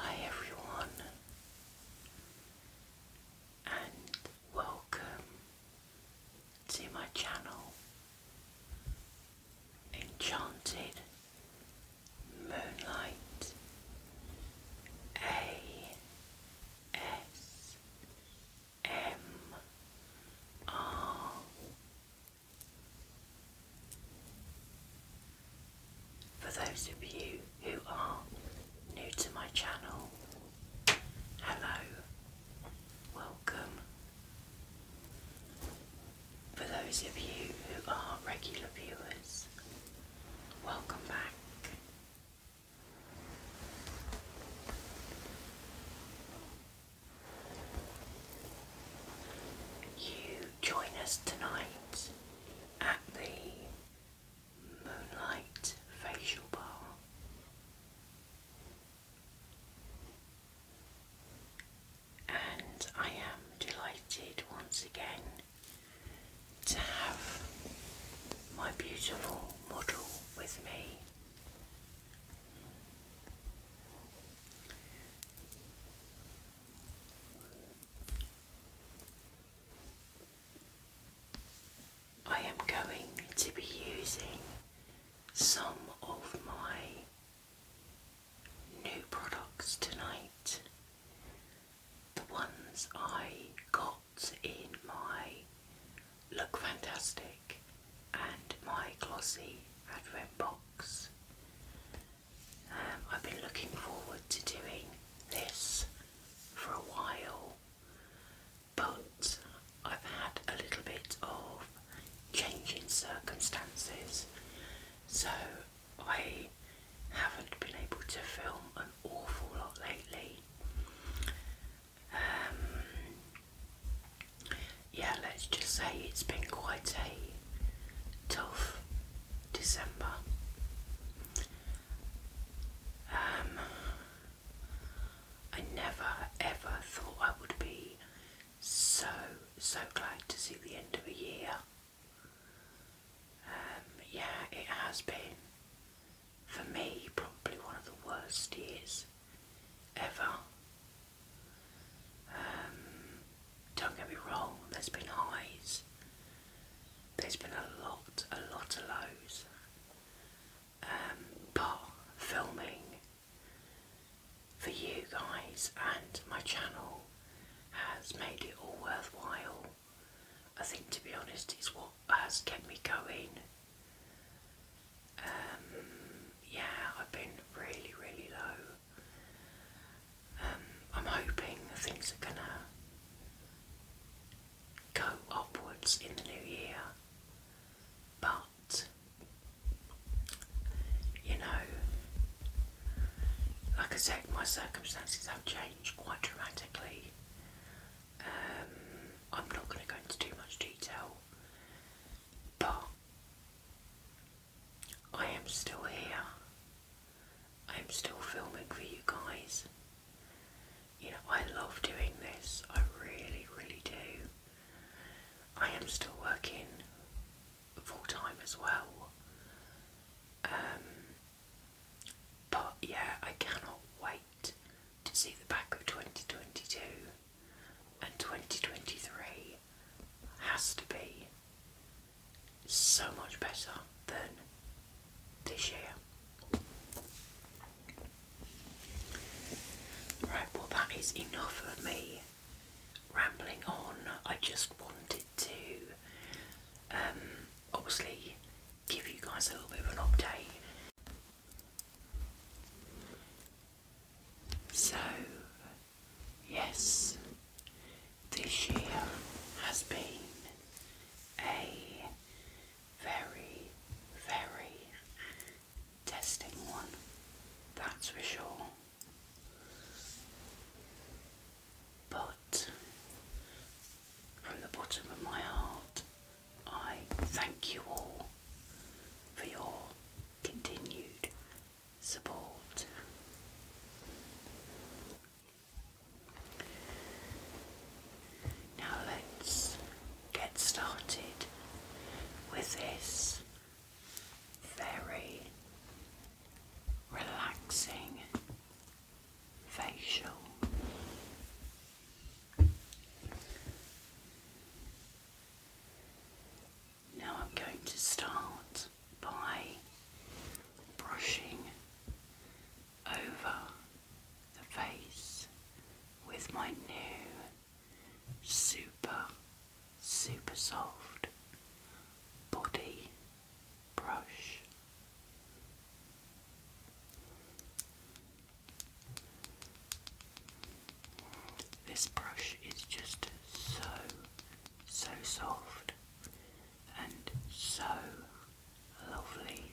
Hi everyone, and welcome to my channel Enchanted Moonlight A S M R For those of you who are new to my channel, hello, welcome, for those of you who are regular viewers, welcome back. You join us tonight at the Moonlight Facial Bar and I am delighted once again to have my beautiful model with me. I am going to be using some of my new products tonight. The ones I got in my Look Fantastic and my Glossy Advent box. Um, I've been looking forward to doing this for a while, but I've had a little bit of changing circumstances, so I haven't been able to film an awful lot lately. Um, yeah, let's just say it's been quite a tough December. Um, I never ever thought I would be so, so glad to see the end of a year. Um, yeah, it has been, for me, probably one of the worst years ever. Um, don't get me wrong, there's been highs. There's been a lot, a lot of lows um, filming for you guys, and my channel has made it all worthwhile. I think, to be honest, it's what has kept me going. Um, yeah, I've been really, really low. Um, I'm hoping things are gonna go upwards in the new year, but you know, like I said, my circumstances have changed quite dramatically. Um, I'm not going to go into too much detail, but I am still here. I am still filming for you guys. You know, I love doing this. I really, really do. I am still working full time as well. Um, but yeah, I cannot wait to see the back of 2022 and 2023 has to be so much better than this year. Right, well, that is enough of me rambling on. I just wanted to um, obviously give you guys a little bit of an update. So, yes, this year has been a very, very testing one, that's for sure. But from the bottom of my heart, I thank you all for your continued support. Now let's get started with this very relaxing facial. Now I'm going to start by brushing over the face with my new super, super soft body brush. This brush is just so, so soft and so lovely.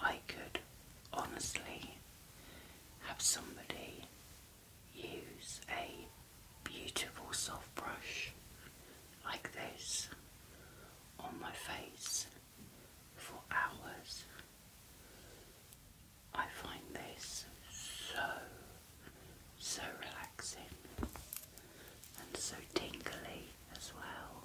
I could honestly have somebody use a beautiful soft brush like this on my face for hours. I find this so, so relaxing and so tingly as well.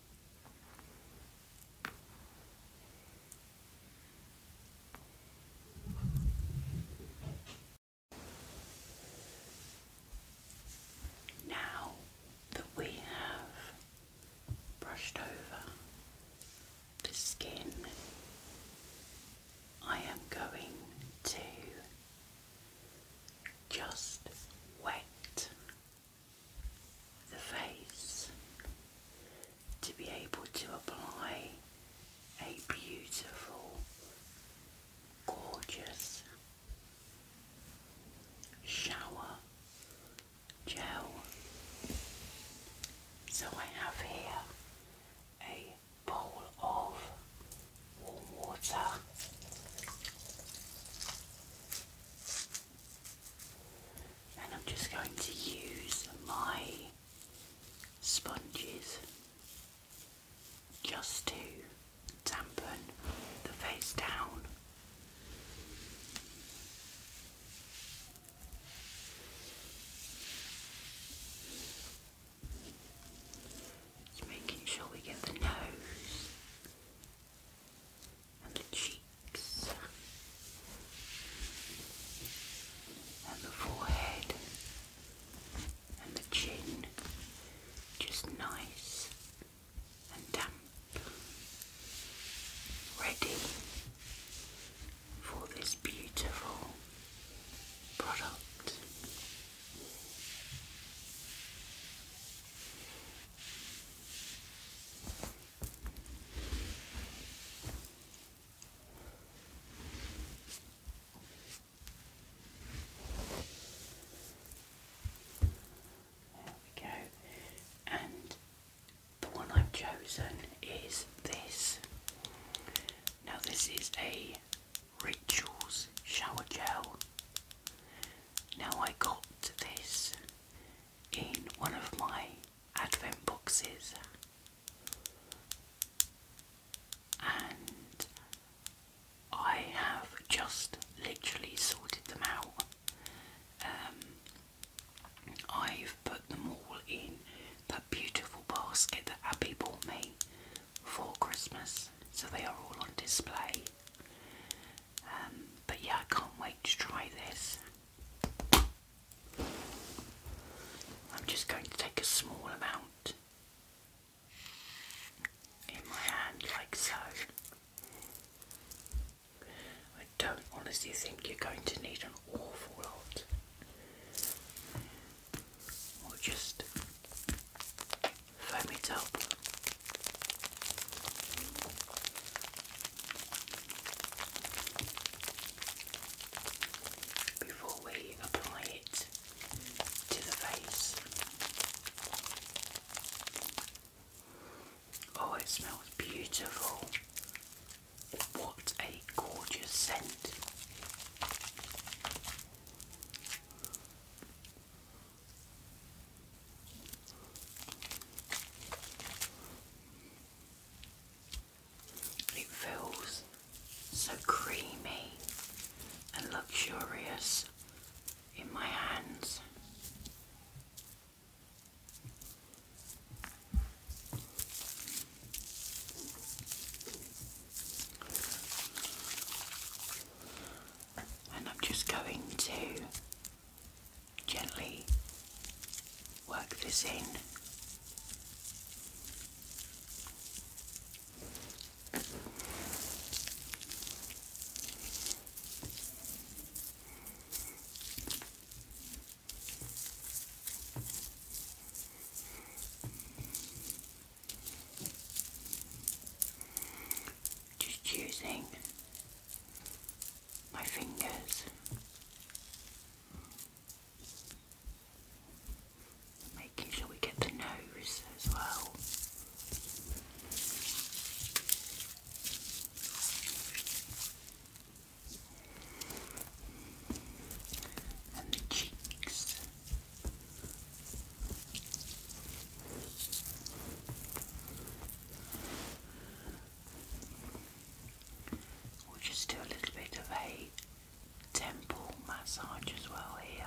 Now that we have brushed over the skin, I am going to just wet the face to be able to apply a beautiful, gorgeous shower gel. So I have here a bowl of warm water and I'm just going to use my sponges just to dampen the face down. Just making sure we get the nose and the cheeks and the forehead and the chin just nice and damp ready for this beautiful product we go. And the one I've chosen is this. Now this is a Rituals shower gel. Now I got this in one of my advent boxes and I have just literally sorted them out. Um, I've put them all in that beautiful basket that Abby bought me for Christmas, so they are all on display. Um, but yeah, I can't wait to try this. I'm just going to take a small amount in my hand, like so. I don't honestly think you're going to need an awful lot. Or just foam it up before we apply it to the face. Oh, it smells beautiful. What a gorgeous scent. It feels so creamy and luxurious in my hands. And I'm just going to Gently work this in. Just using my fingers, making sure we get the nose as well. And the cheeks. We'll just do a little bit of a temple massage as well here.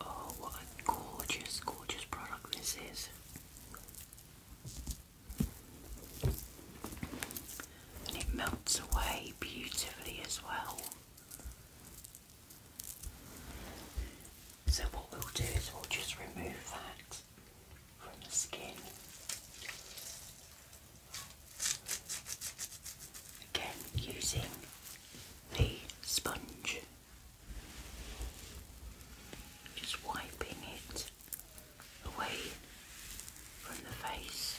Oh, what a gorgeous, gorgeous product this is and it melts away beautifully as well. So, what we'll do is we'll just remove that from the skin. Again, using the sponge, just wiping it away from the face.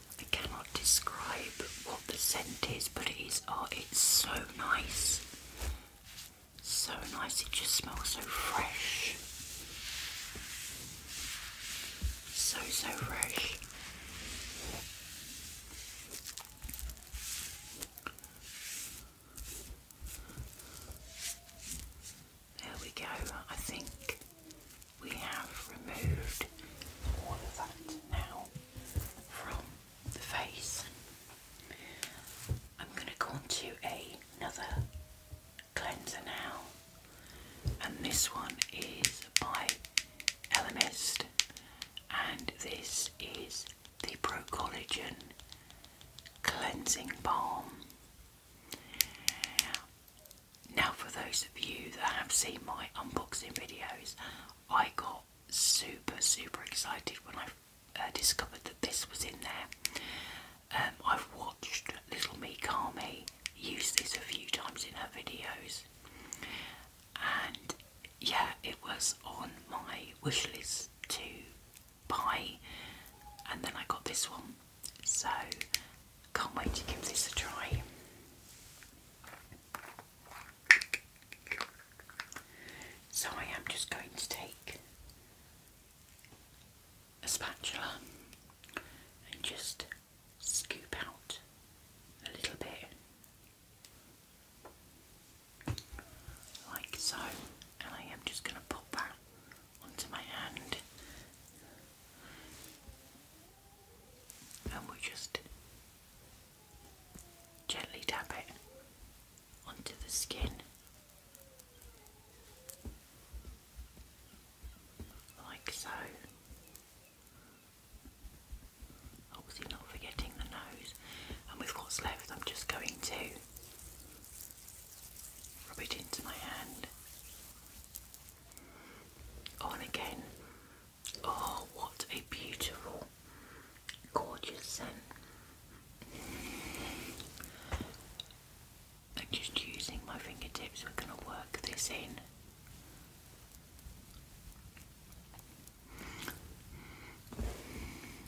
I cannot describe what the scent is, but it is, oh, it's so nice. So nice, it just smells so fresh. So, so fresh. There we go, I think we have removed all of that now from the face. I'm going to go on to another cleanser now, and this one is by Elemist, and this is the Pro Collagen Cleansing Balm. Now, for those of you that have seen my unboxing videos, I got super, super excited when I uh, discovered that this was in there. Um, I've watched Little Me Mikami use this a few times in her videos, and yeah, it was on my wish list to buy, and then I got this one. So, can't wait to give this a try. So, I am just going to take a spatula and just scoop out a little bit, like so. And I am just going to put that onto my hand and we just gently tap it onto the skin like so. Obviously, not forgetting the nose, and with what's left, I'm just going to rub it into my hand on oh, again. Oh, what a beautiful, gorgeous scent. And just using my fingertips, we're going to work this in.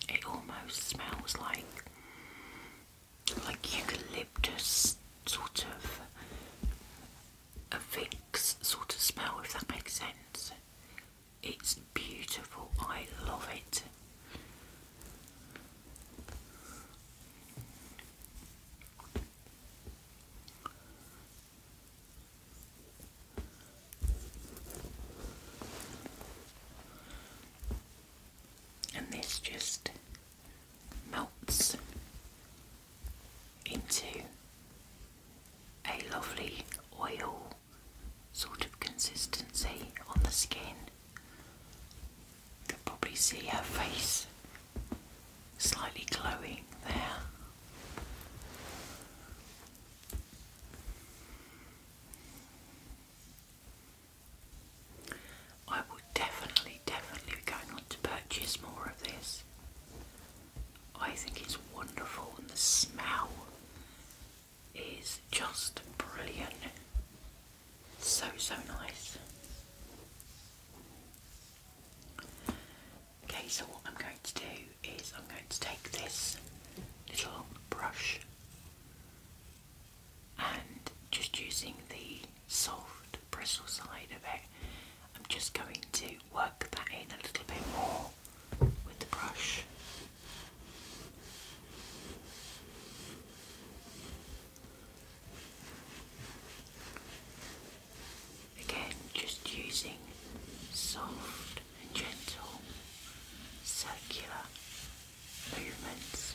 It almost smells like like eucalyptus sort of a Vicks sort of smell if that makes sense. It's beautiful, I love it. And this just melts into a lovely oil sort of consistency on the skin. You can probably see her face slightly glowing there. I would definitely, definitely be going on to purchase more of this. I think it's wonderful and the smell is just brilliant. So, so nice. Okay, so what I'm going to do is I'm going to take this little brush and just using the soft bristle side of it. I'm just going to work that in a little bit more with the brush. Again, just using soft and gentle circular movements.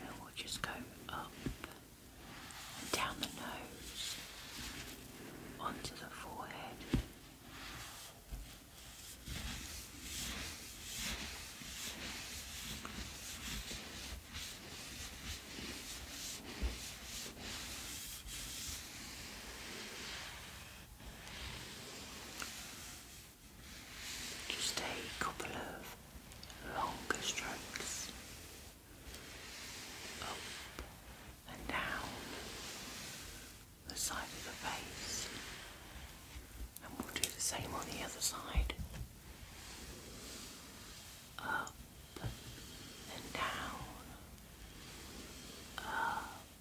And we'll just go up down the nose, onto the forehead. Just a couple of longer strokes up and down the side of the face, and we'll do the same on the other side. Up and down, up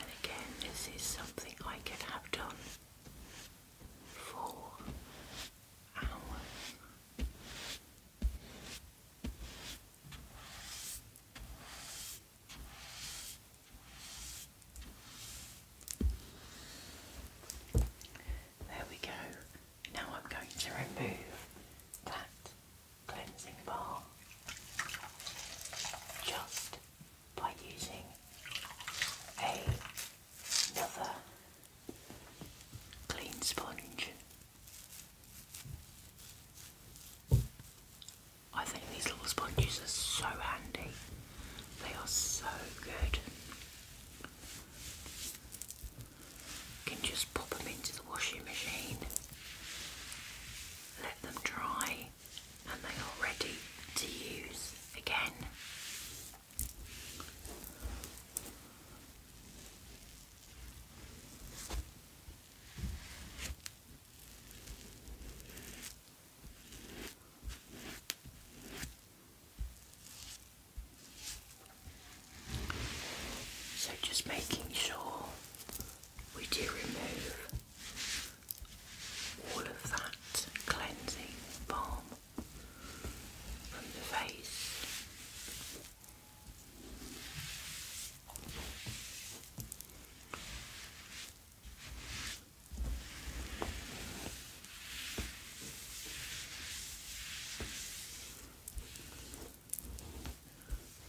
And again, this is something I can have done for There we go. Now I'm going to remove that cleansing bar just by using another clean sponge. I think these little sponges are so handy. They are so good. You can just pop them into the washing machine, let them dry and they are ready to use again. So, just making sure we do remove all of that cleansing balm from the face.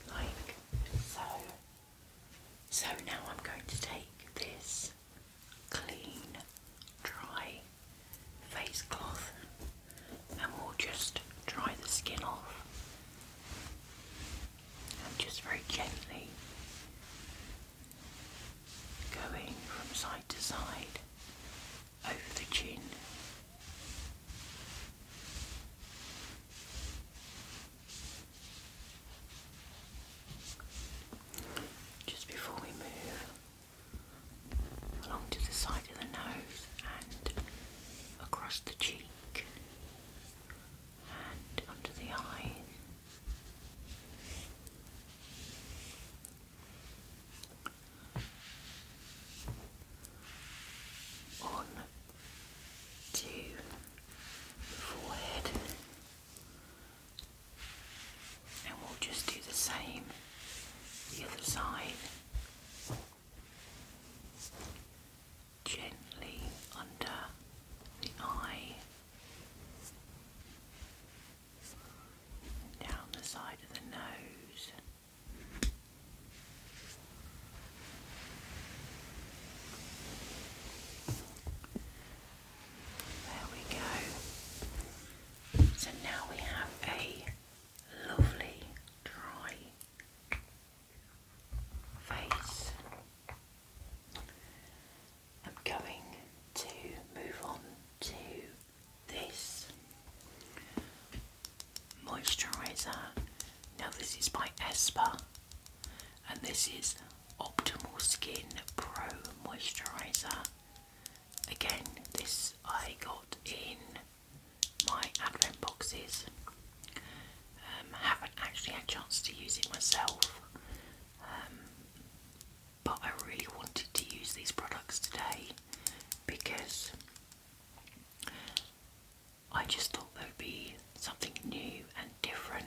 Like so. So now I'm going to take this clean, dry face cloth and we'll just dry the skin off. And just very gently going from side to side over the chin. Just before we move along to the side of the nose and across the cheek and under the eyes. On to the forehead, and we'll just do the same the other side, gently under the eye, down the side of the nose. There we go. So now we have a lovely dry face. I'm going to move on to this moisturiser. Now this is by Esper and this is Optimal Skin Pro Moisturiser. Again, this I got in my advent boxes. Um, haven't actually had a chance to use it myself, um, but I really wanted to use these products today because I just thought there would be something new and different.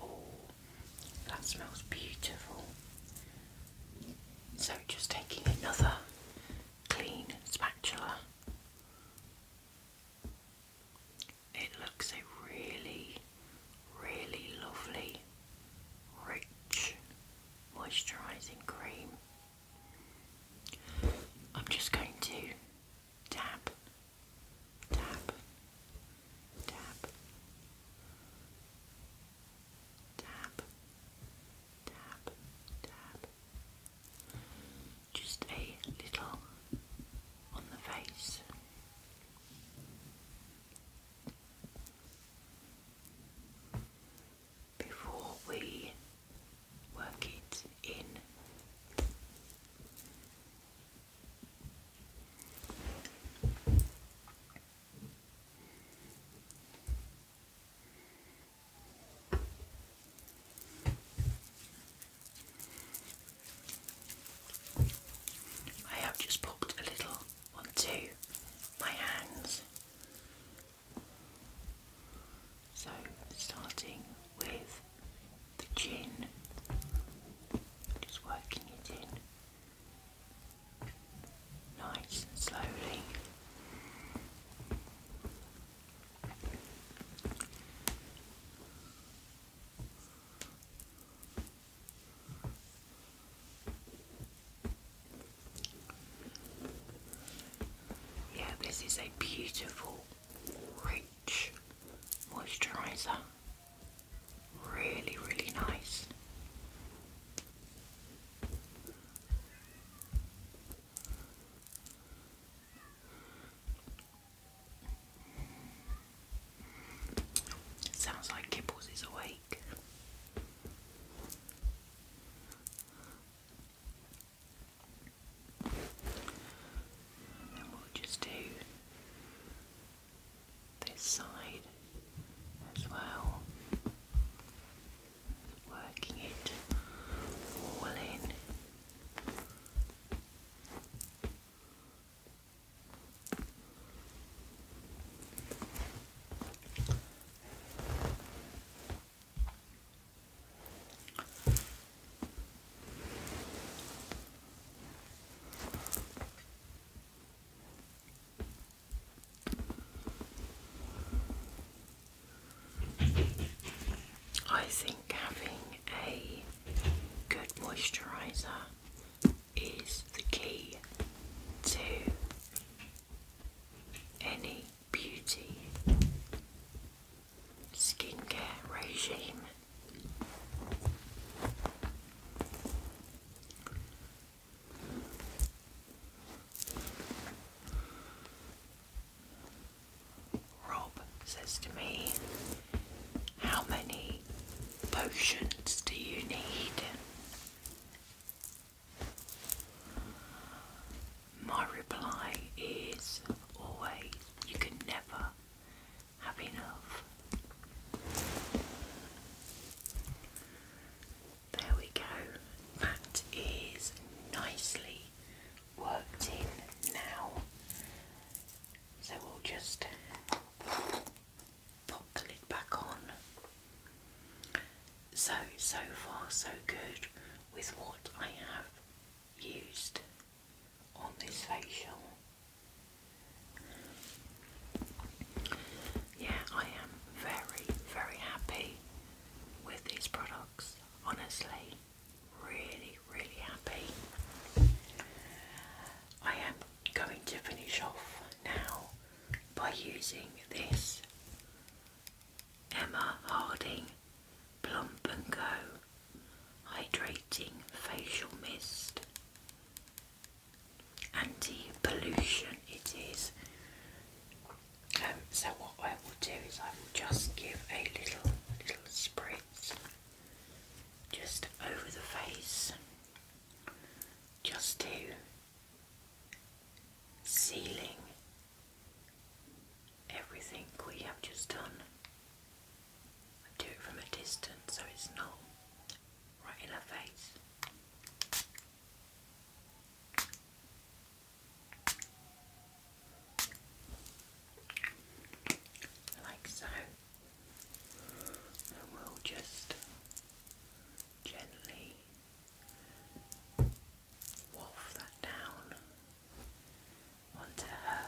Oh, that smells beautiful. So, just taking another clean spatula. It looks a really really lovely, rich, moisturising cream. I'm just going to tap, tap, tap, tap, tap, tap. Just a little on the face before we work it in. I have just popped a little onto my hands. So, starting with the chin, just working it in nice and slowly. Yeah, this is a beautiful, rich moisturiser. Really, really nice. Sounds like Kibbles is awake. And we'll just do this side as well, working it all in. I think having a good moisturiser is the key to any beauty skincare regime. Rob says to me, how many potions do you need? My reply is always you can never have enough. There we go, that is nicely worked in now. So we'll just pop the lid back on. So, so far, so good with what I have used on this facial. Yeah, I am very, very happy with these products, honestly. Really, really happy. I am going to finish off now by using this Emma Harding Plump and Go Hydrating Facial Mist. Anti-pollution it is. Um, so what I will do is I will just give a little, little spritz just over the face just do sealing everything we have just done. do it from a distance so it's not right in our face. Like so and we'll just gently waft that down onto her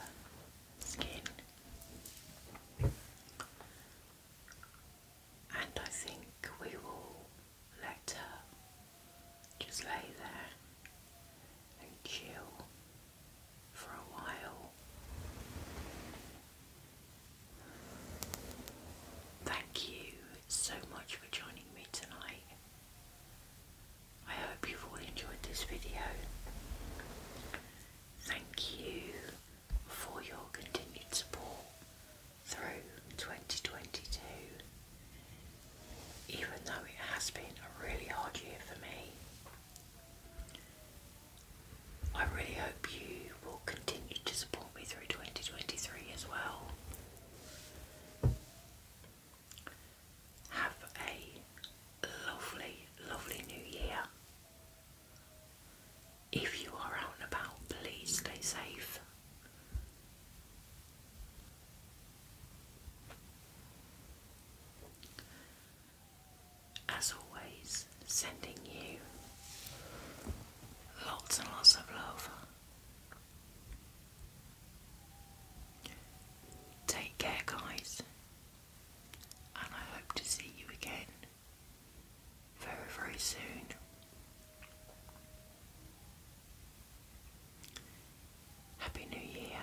skin. And I think we will let her just lay there and chill for a while. Thank you so much for joining me tonight. I hope you've all enjoyed this video. Thank you for your continued support through 2022. Even though it has been a really hard year for me, I really hope you will continue to support me through 2023 as well. Have a lovely, lovely new year. If you are out and about, please stay safe. As always, sending you lots and lots of love. Take care, guys, and I hope to see you again very, very soon. Happy New Year.